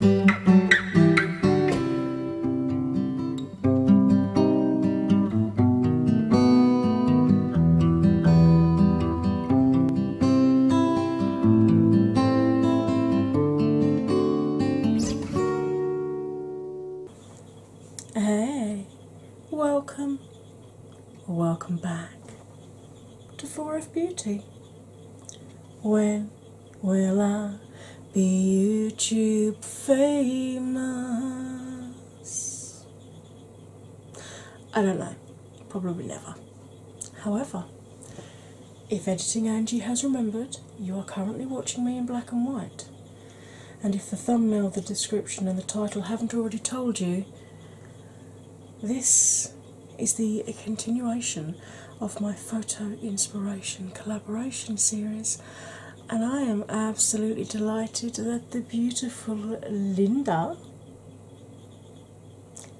Hey, welcome welcome back to Four of Beauty, where will I be YouTube famous? I don't know, probably never. However, if editing Angie has remembered, you are currently watching me in black and white. And if the thumbnail, the description, and the title haven't already told you, this is the continuation of my photo inspiration collaboration series, and I am absolutely delighted that the beautiful Linda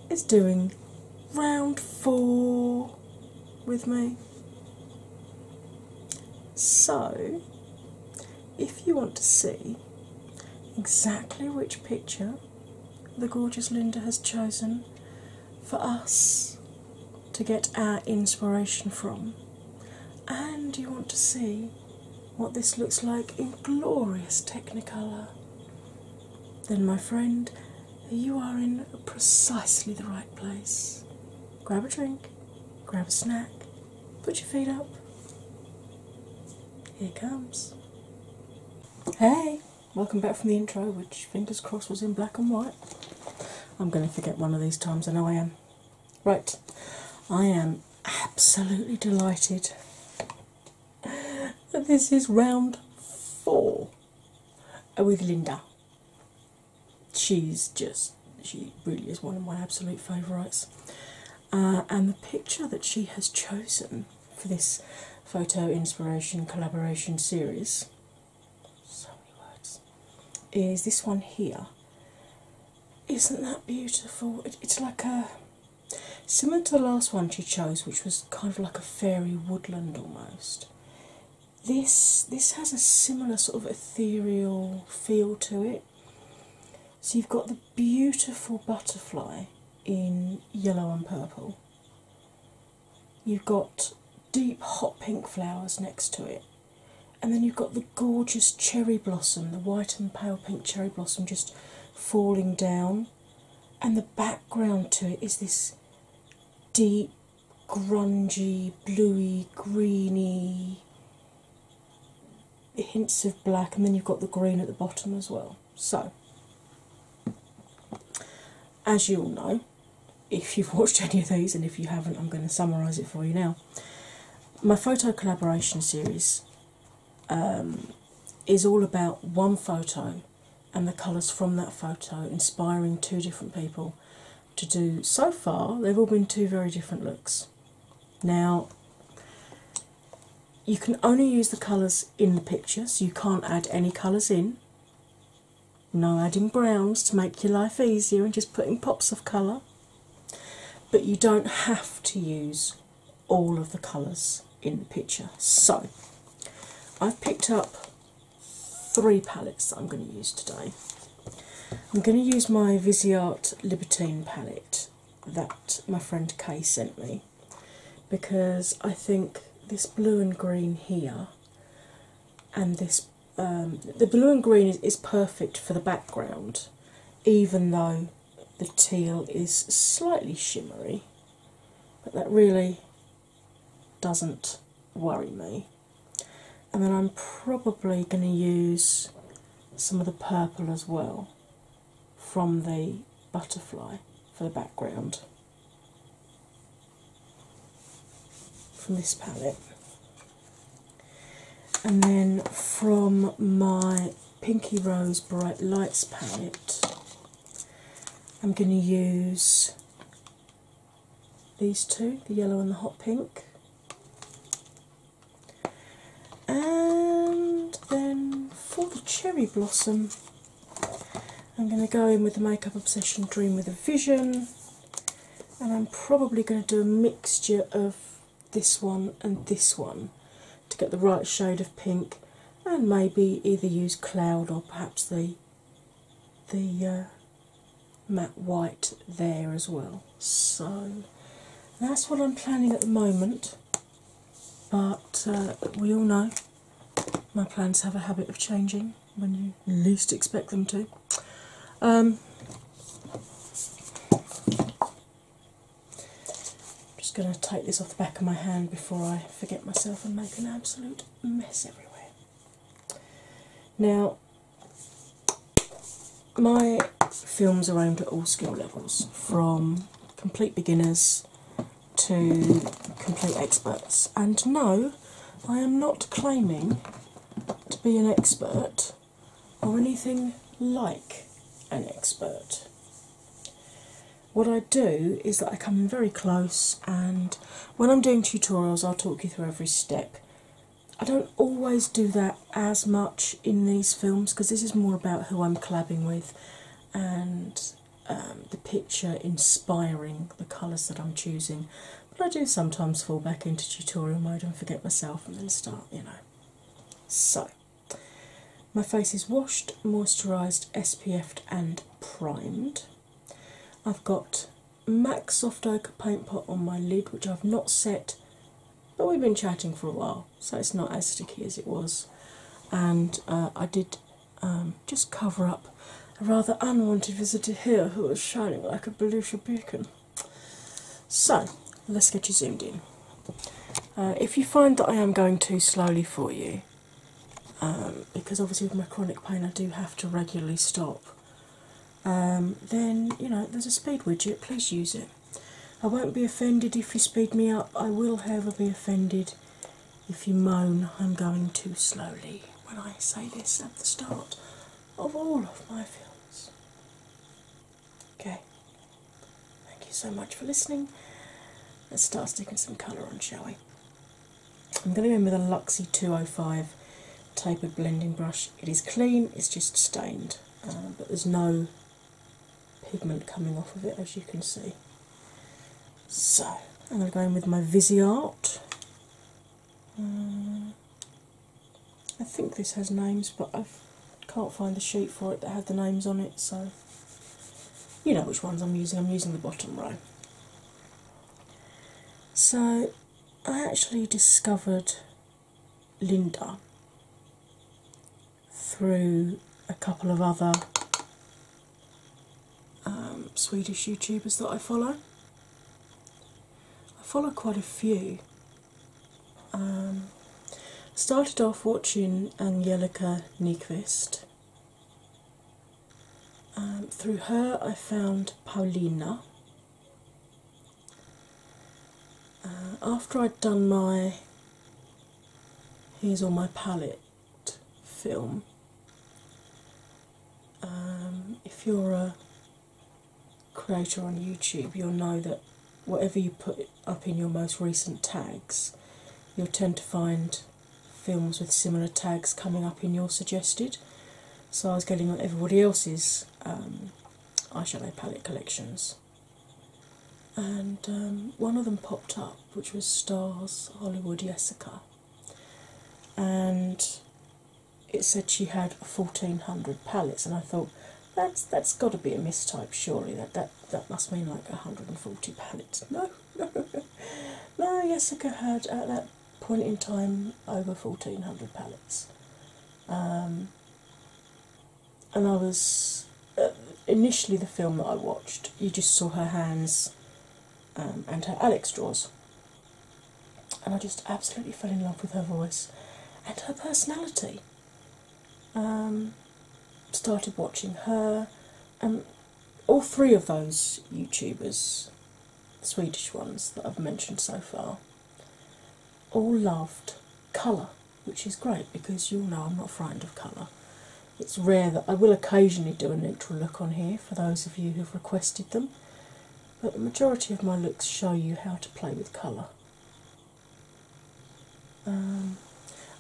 is doing round four with me. So, if you want to see exactly which picture the gorgeous Linda has chosen for us to get our inspiration from, and you want to see what this looks like in glorious Technicolor, then, my friend, you are in precisely the right place. Grab a drink, grab a snack, put your feet up. Here it comes. Hey! Welcome back from the intro, which fingers crossed was in black and white. I'm going to forget one of these times, I know I am. Right, I am absolutely delighted that this is round four with Linda. She's just, she really is one of my absolute favourites. Uh, and the picture that she has chosen for this photo inspiration collaboration series. So many words. Is this one here? Isn't that beautiful? it's like a similar to the last one she chose, which was kind of like a fairy woodland almost. This this has a similar sort of ethereal feel to it. So you've got the beautiful butterfly in yellow and purple you've got deep hot pink flowers next to it, and then you've got the gorgeous cherry blossom, the white and pale pink cherry blossom just falling down, and the background to it is this deep, grungy, bluey, greeny. Hints of black, and then you've got the green at the bottom as well. So, as you all know, if you've watched any of these, and if you haven't, I'm going to summarise it for you now. My photo collaboration series um, is all about one photo and the colours from that photo inspiring two different people to do. So far, they've all been two very different looks. Now, you can only use the colours in the picture, so you can't add any colours in no adding browns to make your life easier and just putting pops of colour. But you don't have to use all of the colours in the picture. So I've picked up three palettes that I'm going to use today. I'm going to use my Viseart Libertine palette that my friend Kay sent me because I think this blue and green here and this um, the blue and green is perfect for the background, even though the teal is slightly shimmery, but that really doesn't worry me. And then I'm probably going to use some of the purple as well from the butterfly for the background from this palette. And then from my Pinky Rose Bright Lights palette, I'm going to use these two the yellow and the hot pink. And then for the cherry blossom, I'm going to go in with the Makeup Obsession Dream with a Vision, and I'm probably going to do a mixture of this one and this one to get the right shade of pink, and maybe either use Cloud or perhaps the the uh, matte white there as well. So that's what I'm planning at the moment, but uh, we all know my plans have a habit of changing when you least expect them to. I'm um, just going to take this off the back of my hand before I forget myself and make an absolute mess everywhere. Now, my films are aimed at all skill levels, from complete beginners to complete experts. And no, I am not claiming to be an expert or anything like an expert. What I do is that I come in very close, and when I'm doing tutorials, I'll talk you through every step. I don't always do that as much in these films because this is more about who I'm collabing with and um, the picture inspiring the colours that I'm choosing. But I do sometimes fall back into tutorial mode and forget myself and then start, you know. So, my face is washed, moisturised, SPF'd, and primed. I've got MAC Soft Ochre Paint Pot on my lid, which I've not set, but we've been chatting for a while, so it's not as sticky as it was. And uh, I did um, just cover up a rather unwanted visitor here who is shining like a Belushi beacon. So let's get you zoomed in. Uh, if you find that I am going too slowly for you, um, because obviously with my chronic pain I do have to regularly stop, um, then you know there's a speed widget, please use it. I won't be offended if you speed me up, I will, however, be offended if you moan, I'm going too slowly when I say this at the start of all of my films. Okay, thank you so much for listening. Let's start sticking some colour on, shall we? I'm going to go in with a Luxie 205 tapered blending brush. It is clean, it's just stained, uh, but there's no pigment coming off of it as you can see. So I'm going to go in with my Viseart. Uh, I think this has names, but I can't find the sheet for it that had the names on it, so you know which ones I'm using. I'm using the bottom row. So I actually discovered Linda through a couple of other um, Swedish YouTubers that I follow. I follow quite a few. Um, started off watching Angelica Nyqvist. Um, through her, I found Paulina. Uh, after I'd done my he's on My Palette film. Um, if you're a creator on YouTube, you'll know that whatever you put up in your most recent tags, you'll tend to find films with similar tags coming up in your suggested. So I was getting on everybody else's um, eyeshadow palette collections, and um, one of them popped up which was Star's Hollywood Jessica, and it said she had 1400 palettes, and I thought that's that's got to be a mistype, surely that that that must mean like 140 palettes. No, no, no. Yessica had at that point in time over 1400 palettes. Um, and I was uh, initially the film that I watched, you just saw her hands um, and her Alex drawers, and I just absolutely fell in love with her voice and her personality. Um, started watching her, and all three of those YouTubers, Swedish ones that I've mentioned so far, all loved colour, which is great because you'll know I'm not frightened of colour. It's rare that I will occasionally do a neutral look on here for those of you who've requested them, but the majority of my looks show you how to play with colour. Um,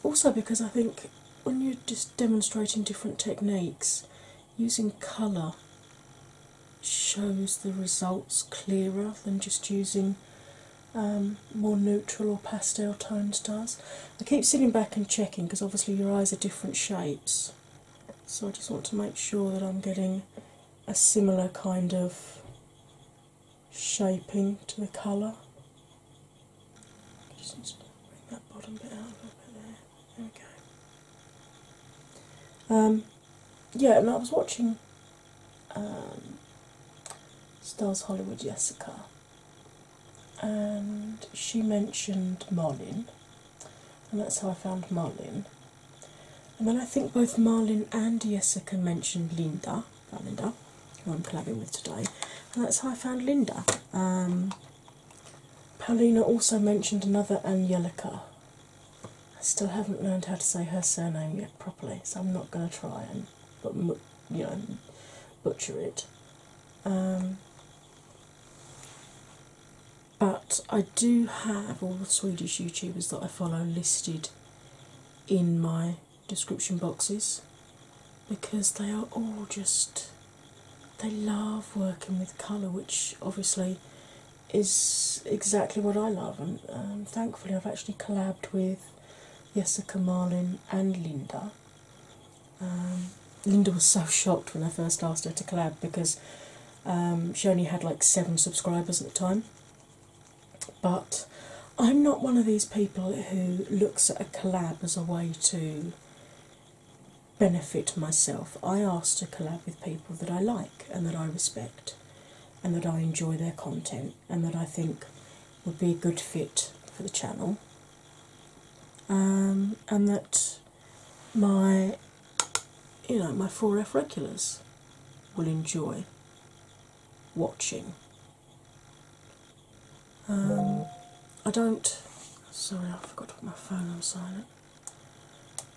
also, because I think when you're just demonstrating different techniques, using colour shows the results clearer than just using um, more neutral or pastel tones does. I keep sitting back and checking because obviously your eyes are different shapes, so I just want to make sure that I'm getting a similar kind of shaping to the colour. Um, yeah, and I was watching um, Stars Hollywood Jessica and she mentioned Marlin, and that's how I found Marlin. And then I think both Marlin and Jessica mentioned Linda, Linda, who I'm collabing with today, and that's how I found Linda. Um, Paulina also mentioned another Angelica. I still haven't learned how to say her surname yet properly, so I'm not going to try and you know butcher it. Um, but I do have all the Swedish YouTubers that I follow listed in my description boxes because they are all just they love working with colour, which obviously is exactly what I love. And um, thankfully, I've actually collabed with Jessica Marlin and Linda um, Linda was so shocked when I first asked her to collab because um, she only had like seven subscribers at the time. But I'm not one of these people who looks at a collab as a way to benefit myself. I ask to collab with people that I like and that I respect and that I enjoy their content and that I think would be a good fit for the channel um, and that my you know my 4f regulars will enjoy watching um, i don't sorry i forgot to put my phone on silent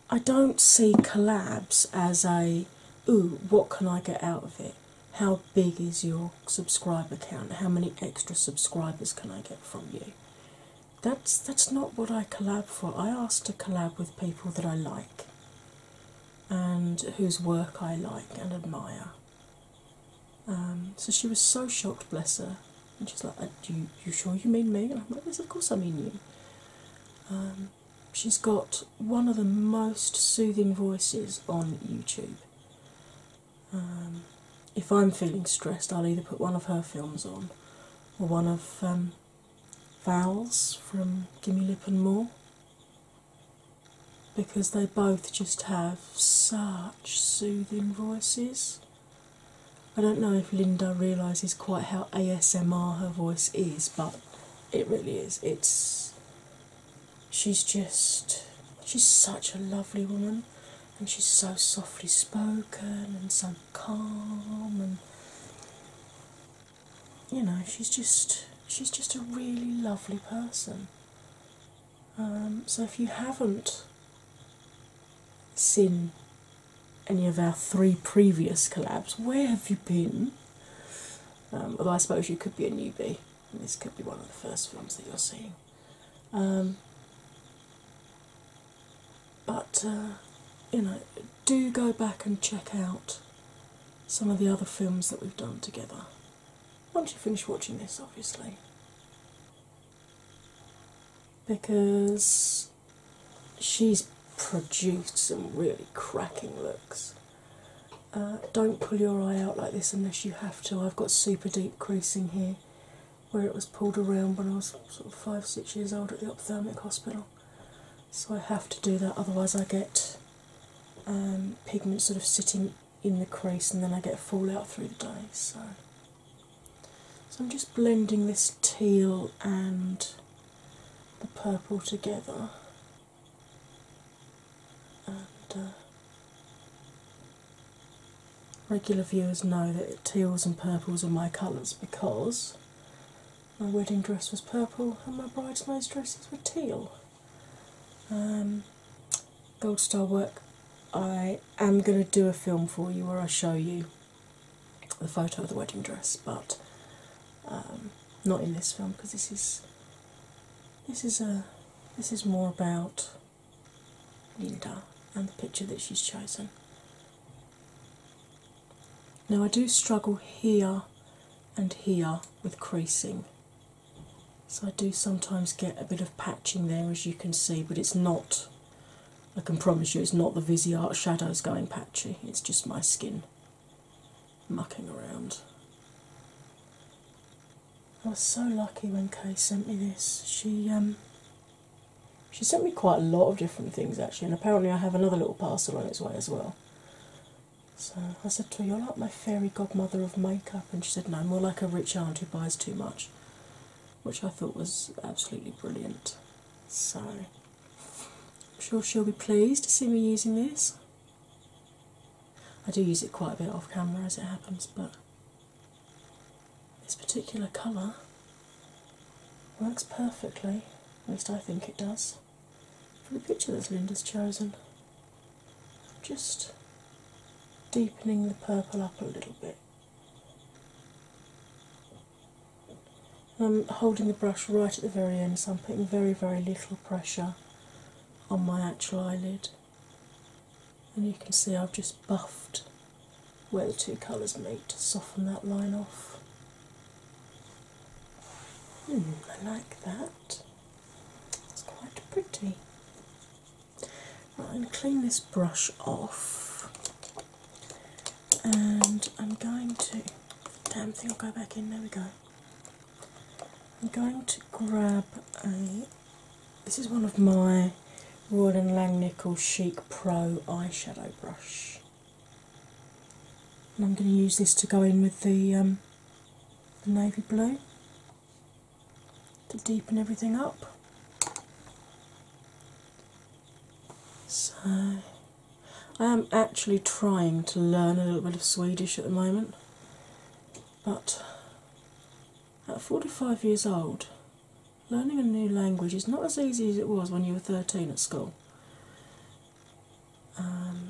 i don't see collabs as a ooh what can i get out of it how big is your subscriber count? How many extra subscribers can I get from you? That's that's not what I collab for. I ask to collab with people that I like and whose work I like and admire. Um, so she was so shocked, bless her, and she's like, uh, "Do you, sure you mean me?" And I'm like, of course I mean you." Um, she's got one of the most soothing voices on YouTube. Um, if I'm feeling stressed, I'll either put one of her films on or one of um, from Gimme Lip and More because they both just have such soothing voices. I don't know if Linda realises quite how ASMR her voice is, but it really is. It's she's just she's such a lovely woman and she's so softly spoken and so calm and you know she's just she's just a really lovely person um, so if you haven't seen any of our three previous collabs where have you been um, although i suppose you could be a newbie and this could be one of the first films that you're seeing um, but uh, you know, do go back and check out some of the other films that we've done together. Once you finish watching this, obviously, because she's produced some really cracking looks. Uh, don't pull your eye out like this unless you have to. I've got super deep creasing here where it was pulled around when I was sort of five, six years old at the ophthalmic hospital. So I have to do that, otherwise, I get um, pigment sort of sitting in the crease and then I get a fallout through the day. So. so I'm just blending this teal and the purple together. And uh, Regular viewers know that teals and purples are my colours because my wedding dress was purple and my bridesmaids' dresses were teal. Um, gold Star work, I am going to do a film for you where I show you the photo of the wedding dress, but um, not in this film because this is this is a uh, this is more about Linda and the picture that she's chosen. Now, I do struggle here and here with creasing, so I do sometimes get a bit of patching there as you can see, but it's not, I can promise you, it's not the Viseart shadows going patchy, it's just my skin mucking around. I was so lucky when Kay sent me this. She um she sent me quite a lot of different things actually, and apparently I have another little parcel on its way as well. So I said to her, You're like my fairy godmother of makeup and she said, No, more like a rich aunt who buys too much which I thought was absolutely brilliant. So I'm sure she'll be pleased to see me using this. I do use it quite a bit off camera as it happens, but this particular colour works perfectly, at least I think it does, for the picture that Linda's chosen. Just deepening the purple up a little bit. I'm um, holding the brush right at the very end, so I'm putting very, very little pressure on my actual eyelid and you can see I've just buffed where the two colours meet to soften that line off. Hmm, I like that. It's quite pretty. I'm going to clean this brush off and I'm going to. Damn thing will go back in, there we go. I'm going to grab a this is one of my Royal Langnickel Chic Pro eyeshadow brush, and I'm going to use this to go in with um, the navy blue to deepen everything up. So, I am actually trying to learn a little bit of Swedish at the moment. But at 45 years old, learning a new language is not as easy as it was when you were 13 at school. Um,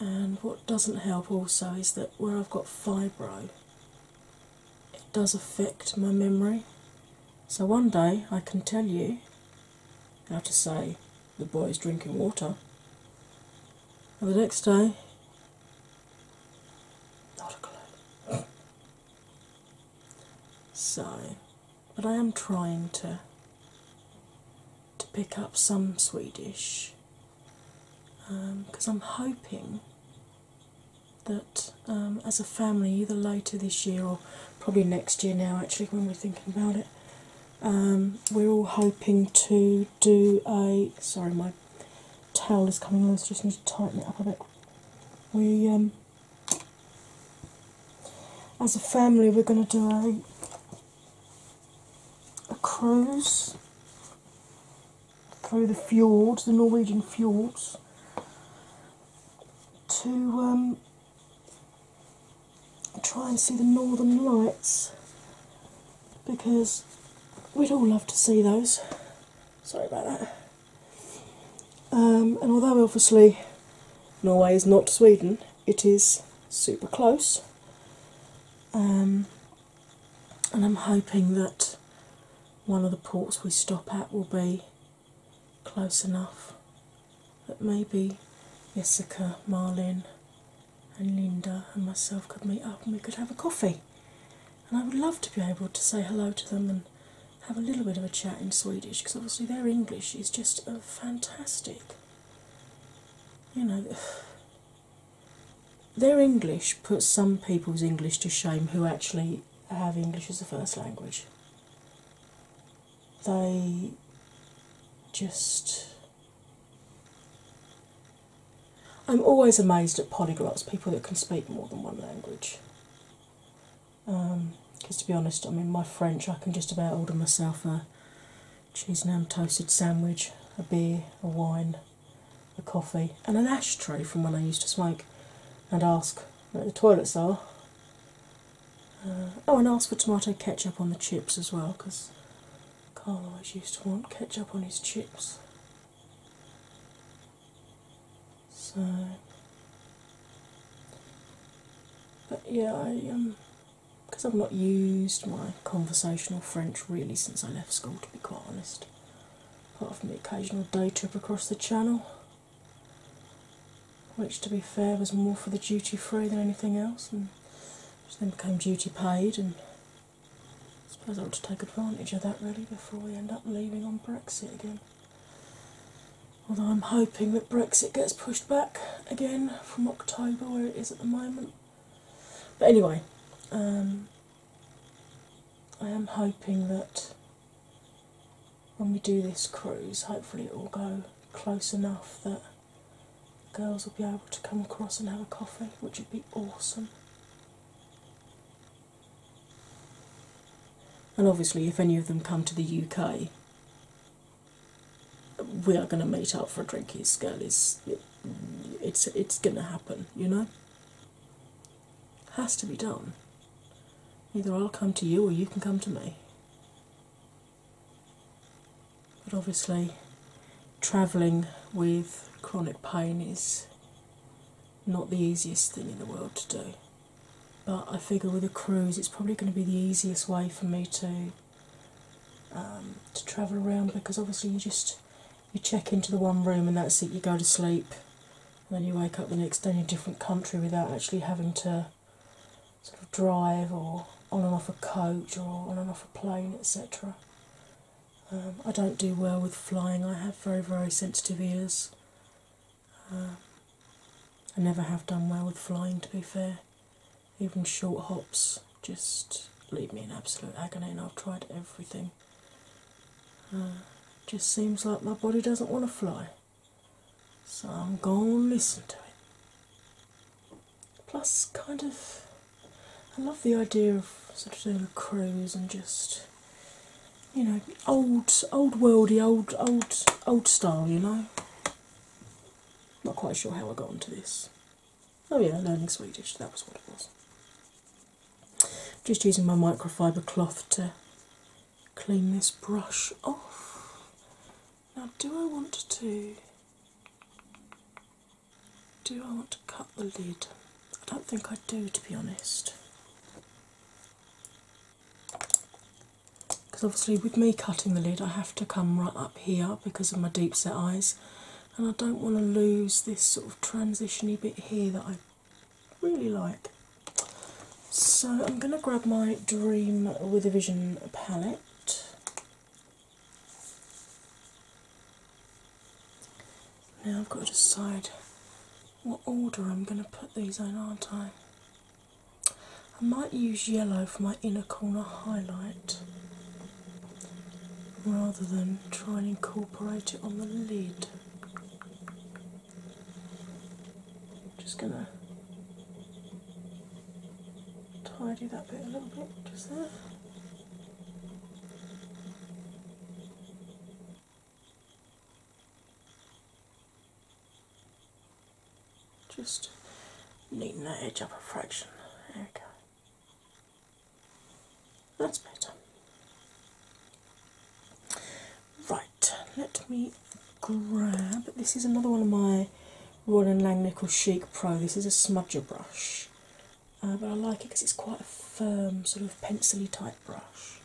and what doesn't help also is that where I've got fibro, it does affect my memory. So one day I can tell you how to say the boys drinking water. And the next day, not a clue. So, but I am trying to to pick up some Swedish because um, I'm hoping that um, as a family, either later this year or probably next year now, actually, when we're thinking about it, um, we're all hoping to do a. Sorry, my towel is coming loose. Just need to tighten it up a bit. We, um, as a family, we're going to do a a cruise through the fjords, the Norwegian fjords, to um, try and see the northern lights because we'd all love to see those. Sorry about that. Um, and although obviously Norway is not Sweden, it is super close. Um, and I'm hoping that one of the ports we stop at will be close enough that maybe Jessica, Marlin, and Linda and myself could meet up and we could have a coffee. And I would love to be able to say hello to them and have a little bit of a chat in Swedish because obviously their English is just uh, fantastic. You know, their English puts some people's English to shame who actually have English as a first language they just. I'm always amazed at polyglots, people that can speak more than one language. Because um, to be honest, I mean, my French, I can just about order myself a cheese and ham toasted sandwich, a beer, a wine, a coffee, and an ashtray from when I used to smoke, and ask where the toilets are. Uh, oh, and ask for tomato ketchup on the chips as well, because Carl always used to want ketchup on his chips. So, but yeah, I um, because I've not used my conversational French really since I left school, to be quite honest. Apart from the occasional day trip across the channel, which to be fair was more for the duty free than anything else, and which then became duty paid. And I suppose I ought to take advantage of that really before we end up leaving on Brexit again. Although I'm hoping that Brexit gets pushed back again from October, where it is at the moment. But anyway, um, I am hoping that when we do this cruise, hopefully it will go close enough that girls will be able to come across and have a coffee, which would be awesome. And obviously, if any of them come to the UK, we are going to meet up for a drinky girl. it's it's going to happen, you know. Has to be done. Either I'll come to you or you can come to me. But obviously, travelling with chronic pain is not the easiest thing in the world to do. But I figure with a cruise, it's probably going to be the easiest way for me to um, to travel around because obviously you just you check into the one room and that's it. You go to sleep, and then you wake up the next day in a different country without actually having to sort of drive or on and off a coach or on and off a plane, etc. Um, I don't do well with flying, I have very, very sensitive ears. Um, I never have done well with flying, to be fair. Even short hops just leave me in absolute agony, and I've tried everything. Uh, just seems like my body doesn't want to fly. So I'm gonna listen to it. Plus, kind of, I love the idea of sort of doing a cruise and just, you know, old, old worldy, old, old, old style. You know. Not quite sure how I got onto this. Oh yeah, learning Swedish. That was what it was. Just using my microfiber cloth to clean this brush off. Now, do I want to do I want to cut the lid? I don't think I do, to be honest. Because obviously, with me cutting the lid, I have to come right up here because of my deep set eyes, and I don't want to lose this sort of transitiony bit here that I really like. So I'm going to grab my Dream with a Vision palette. Now I've got to decide what order I'm going to put these in, aren't I? I might use yellow for my inner corner highlight rather than try and incorporate it on the lid. I'm just going to tidy that bit a little bit just there. Just neaten that edge up a fraction. There we go. That's better. Right, let me grab. This is another one of my Royal Langnickel Lang Chic Pro. This is a smudger brush, uh, but I like it because it's quite a firm, sort of pencilly type brush.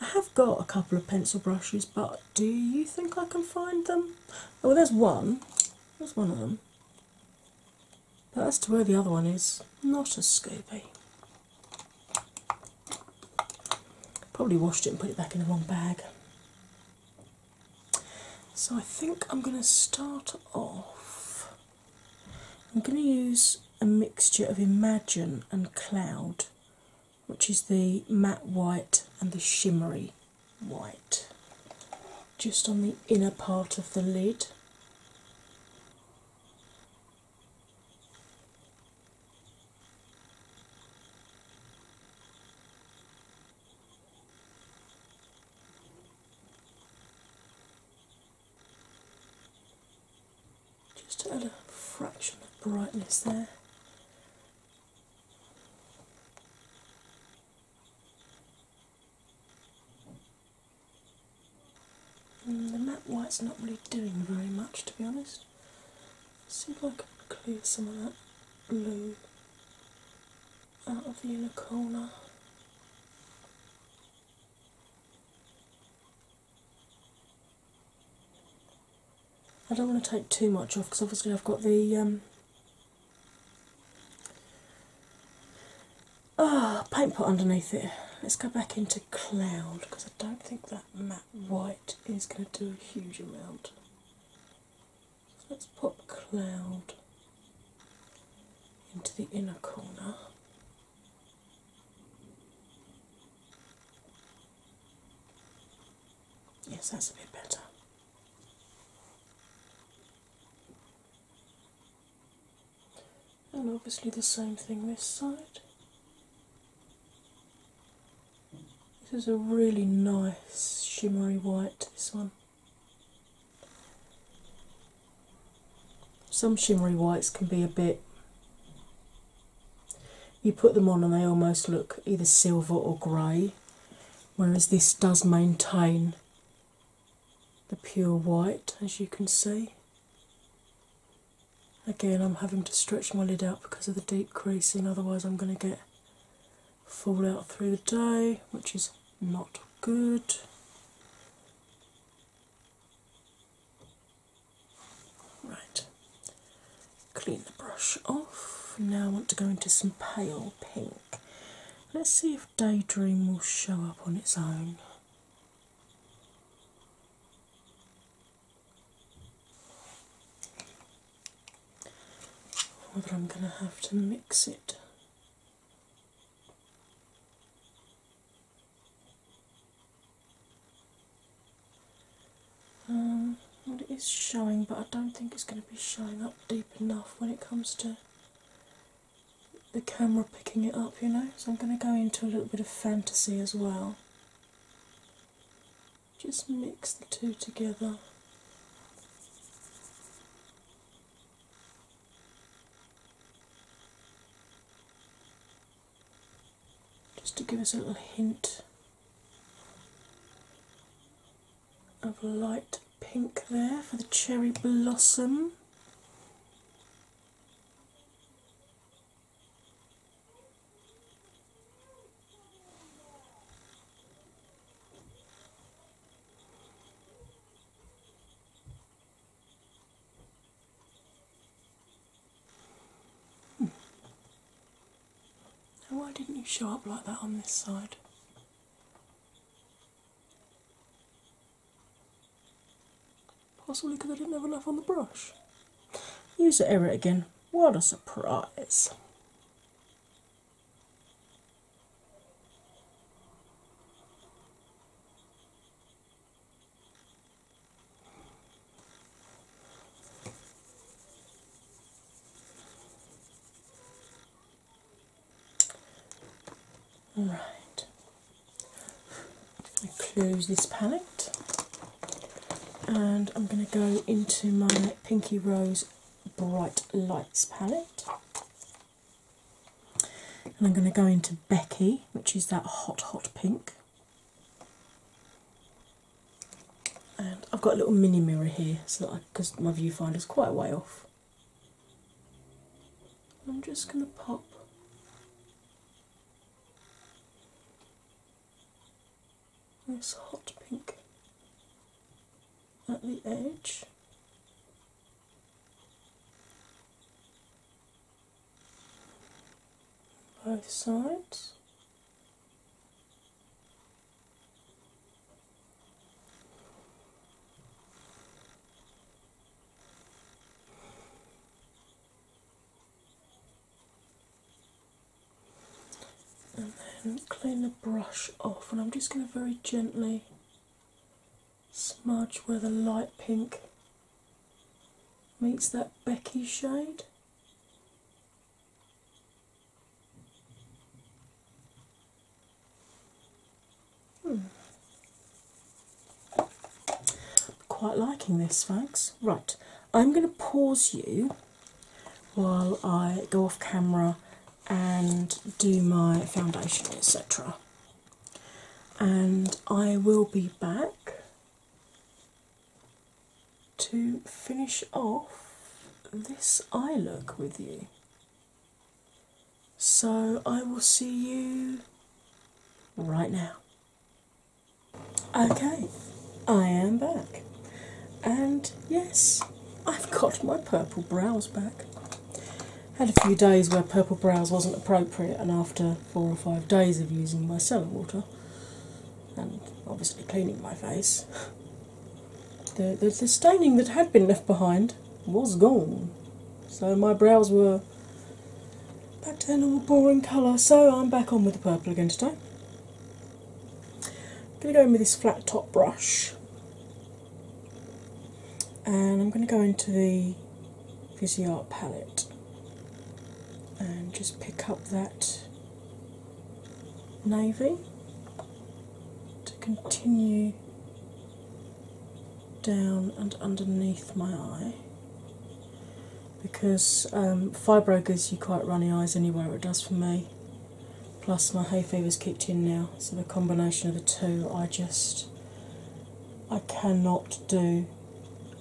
I have got a couple of pencil brushes, but do you think I can find them? Oh, well, there's one. There's one of them. But as to where the other one is, not as Scooby. Probably washed it and put it back in the wrong bag. So I think I'm going to start off. I'm going to use a mixture of Imagine and Cloud, which is the matte white and the shimmery white, just on the inner part of the lid. Just add a fraction of brightness there. Mm, the matte white's not really doing very much to be honest see if I can clear some of that blue out of the inner corner. I don't want to take too much off because obviously I've got the um, ah, paint pot underneath it. Let's go back into cloud because I don't think that matte white is going to do a huge amount let's pop cloud into the inner corner. Yes, that's a bit better. And obviously, the same thing this side. This is a really nice shimmery white, this one. Some shimmery whites can be a bit. You put them on and they almost look either silver or grey, whereas this does maintain the pure white, as you can see. Again, I'm having to stretch my lid out because of the deep creasing, otherwise, I'm going to get fall out through the day, which is not good. Right, clean the brush off. Now I want to go into some pale pink. Let's see if Daydream will show up on its own. But I'm going to have to mix it. Um, it is showing, but I don't think it's going to be showing up deep enough when it comes to the camera picking it up, you know. So I'm going to go into a little bit of fantasy as well just mix the two together. Just to give us a little hint of light pink there for the cherry blossom. Hmm. why didn't you show up like that on this side? Possibly because I didn't have enough on the brush. Use the error again. What a surprise! All right, I close this panel. And I'm going to go into my Pinky Rose Bright Lights palette. And I'm going to go into Becky, which is that hot, hot pink. And I've got a little mini mirror here, so because my viewfinder's quite a way off. I'm just going to pop nice hot pink at the edge. Both sides and then clean the brush off, and I'm just going to very gently smudge where the light pink meets that Becky shade. Hmm. Quite liking this, folks. Right, I'm going to pause you while I go off camera and do my foundation, etc. And I will be back to finish off this eye look with you. So I will see you right now. Okay, I am back, and yes, I've got my purple brows back. Had a few days where purple brows wasn't appropriate, and after four or five days of using my cellar water and obviously cleaning my face, the staining that had been left behind was gone. So my brows were back to their normal boring colour, so I'm back on with the purple again today. I'm going to go in with this flat top brush and I'm going to go into the Fizzy Art palette and just pick up that navy to continue down and underneath my eye because um, gives you quite runny eyes anyway, it does for me. Plus, my hay fever's kicked in now, so the combination of the two, I just I cannot do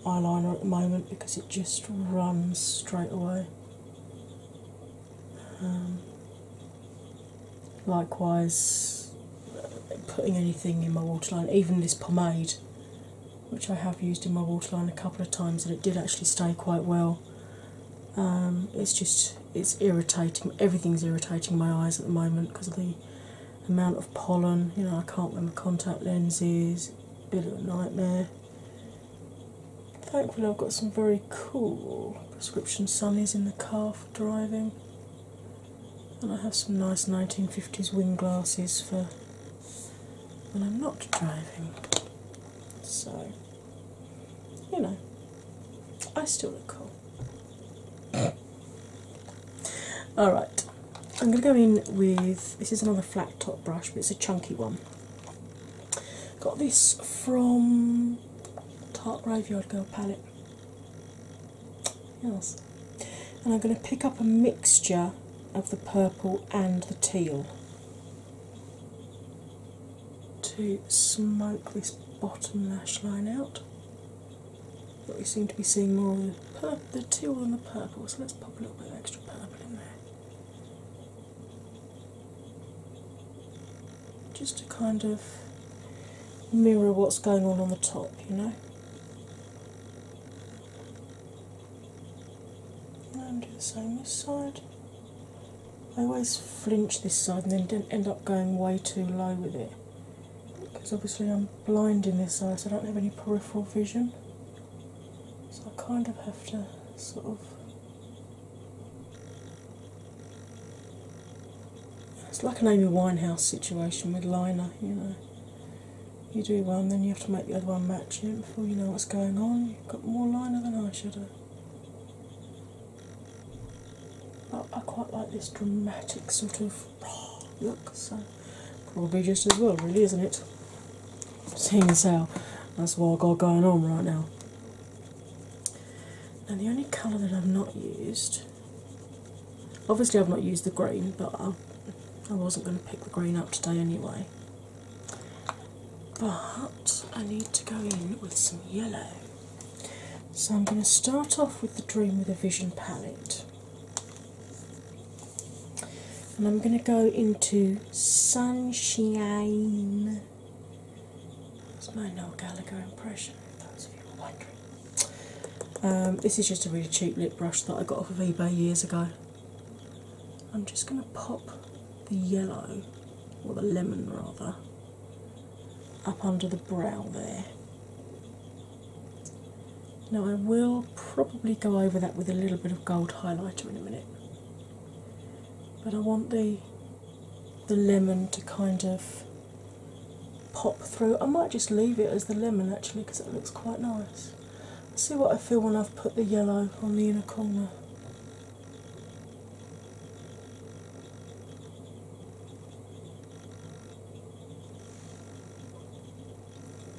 eyeliner at the moment because it just runs straight away. Um, likewise, uh, putting anything in my waterline, even this pomade, which I have used in my waterline a couple of times, and it did actually stay quite well. Um, it's just it's irritating. Everything's irritating my eyes at the moment because of the amount of pollen. You know, I can't wear my contact lenses. bit of a nightmare. Thankfully, I've got some very cool prescription sunnies in the car for driving, and I have some nice 1950s wind glasses for when I'm not driving. So, you know, I still look cool. Alright, I'm going to go in with this is another flat top brush, but it's a chunky one. Got this from Tarte Graveyard Girl palette. Yes. And I'm going to pick up a mixture of the purple and the teal to smoke this bottom lash line out. But we seem to be seeing more of the, purple, teal than the purple, so let's pop a little bit of extra purple in there. Just to kind of mirror what's going on on the top, you know and do the same this side. I always flinch this side and then end up going way too low with it because obviously I'm blind in this eye, so I don't have any peripheral vision. So I kind of have to sort of. It's like an Amy Winehouse situation with liner, you know you do one, then you have to make the other one match it before you know what's going on. You've got more liner than eyeshadow. But I quite like this dramatic sort of look, so probably just as well, really, isn't it? Seeing as how that's what I've got going on right now. Now, the only colour that I've not used, obviously, I've not used the green, but I, I wasn't going to pick the green up today anyway. But I need to go in with some yellow. So I'm going to start off with the Dream with a Vision palette. And I'm going to go into Sunshine. It's my Noel Gallagher impression, those of you wondering. Um, this is just a really cheap lip brush that I got off of eBay years ago. I'm just going to pop the yellow, or the lemon rather, up under the brow there. Now, I will probably go over that with a little bit of gold highlighter in a minute, but I want the the lemon to kind of pop through. I might just leave it as the lemon actually because it looks quite nice see what I feel when I've put the yellow on the inner corner.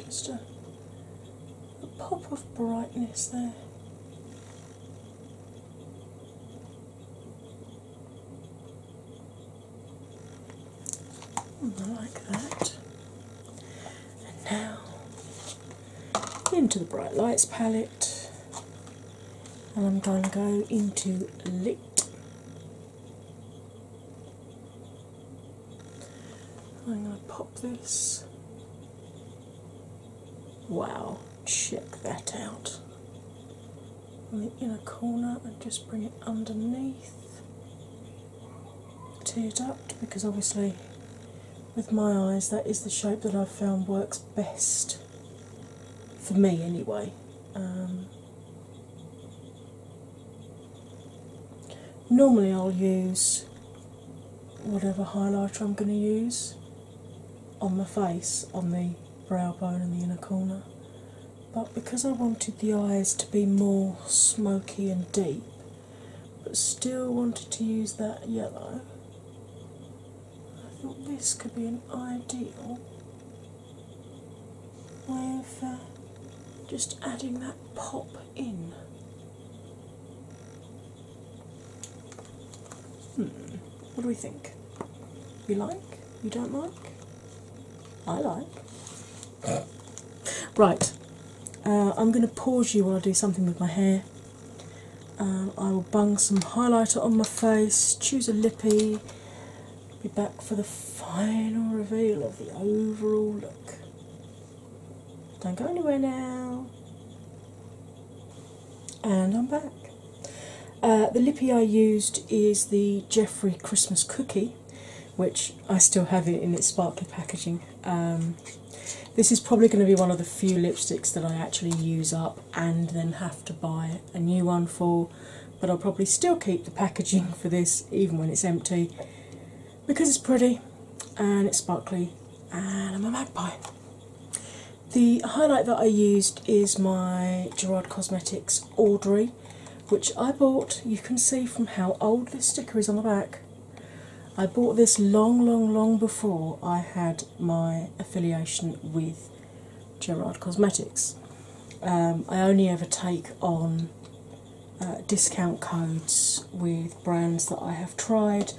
Just a, pop of brightness there. I like that. And now into the bright lights palette, and I'm going to go into lit. I'm going to pop this. Wow, check that out. In the inner corner, and just bring it underneath to adapt, because obviously with my eyes that is the shape that I've found works best for me anyway. Um, normally I'll use whatever highlighter I'm going to use on my face, on the brow bone and the inner corner. But because I wanted the eyes to be more smoky and deep, but still wanted to use that yellow. I thought this could be an ideal way of uh, just adding that pop in. Hmm, what do we think? You like? You don't like? I like. Right, uh, I'm going to pause you while I do something with my hair. Um, I will bung some highlighter on my face, choose a lippy, be back for the final reveal of the overall look. Don't go anywhere now. And I'm back. Uh, the lippy I used is the Jeffrey Christmas Cookie which I still have it in its sparkly packaging. Um, this is probably going to be one of the few lipsticks that I actually use up and then have to buy a new one for, but I'll probably still keep the packaging for this even when it's empty because it's pretty and it's sparkly and I'm a magpie. The highlight that I used is my Gerard Cosmetics Audrey, which I bought. You can see from how old the sticker is on the back. I bought this long, long, long before I had my affiliation with Gerard Cosmetics. Um, I only ever take on uh, discount codes with brands that I have tried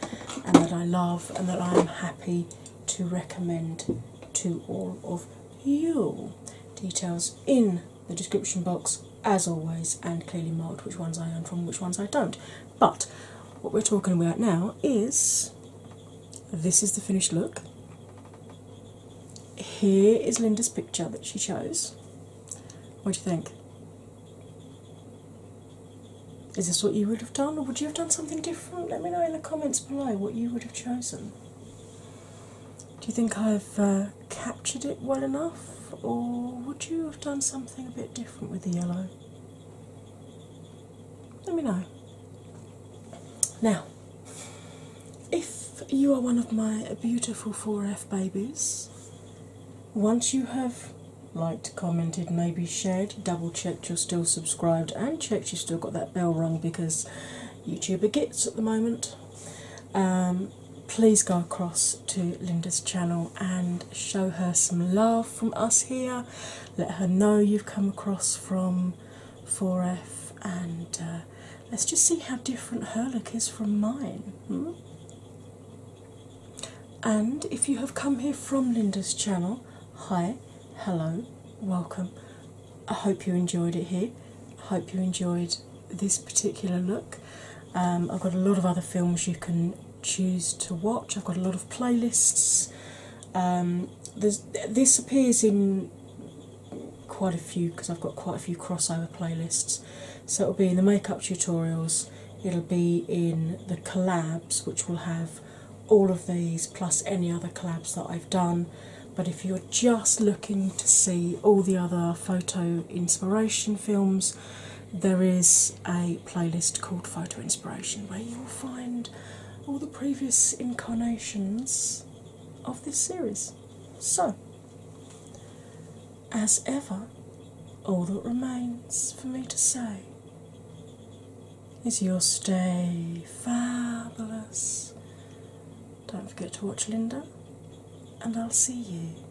and that I love and that I am happy to recommend to all of you. Details in the description box as always and clearly marked which ones I own from which ones I don't. But what we're talking about now is this is the finished look. Here is Linda's picture that she chose. What do you think? Is this what you would have done, or would you have done something different? Let me know in the comments below what you would have chosen. Do you think I've uh, captured it well enough, or would you have done something a bit different with the yellow? Let me know. Now, if you are one of my beautiful 4F babies, once you have liked, commented, maybe shared, double checked you're still subscribed, and checked you still got that bell rung because YouTuber gets at the moment. Um, please go across to Linda's channel and show her some love from us here. Let her know you've come across from 4F and uh, let's just see how different her look is from mine. Hmm? And if you have come here from Linda's channel, hi, hello, welcome. I hope you enjoyed it here. I hope you enjoyed this particular look. Um, I've got a lot of other films you can choose to watch. I've got a lot of playlists. Um, this appears in quite a few because I've got quite a few crossover playlists. So it'll be in the makeup tutorials, it'll be in the collabs, which will have all of these plus any other collabs that I've done. But if you're just looking to see all the other photo inspiration films, there is a playlist called Photo Inspiration where you'll find all the previous incarnations of this series. So, as ever, all that remains for me to say is you'll stay fabulous. Don't forget to watch Linda, and I'll see you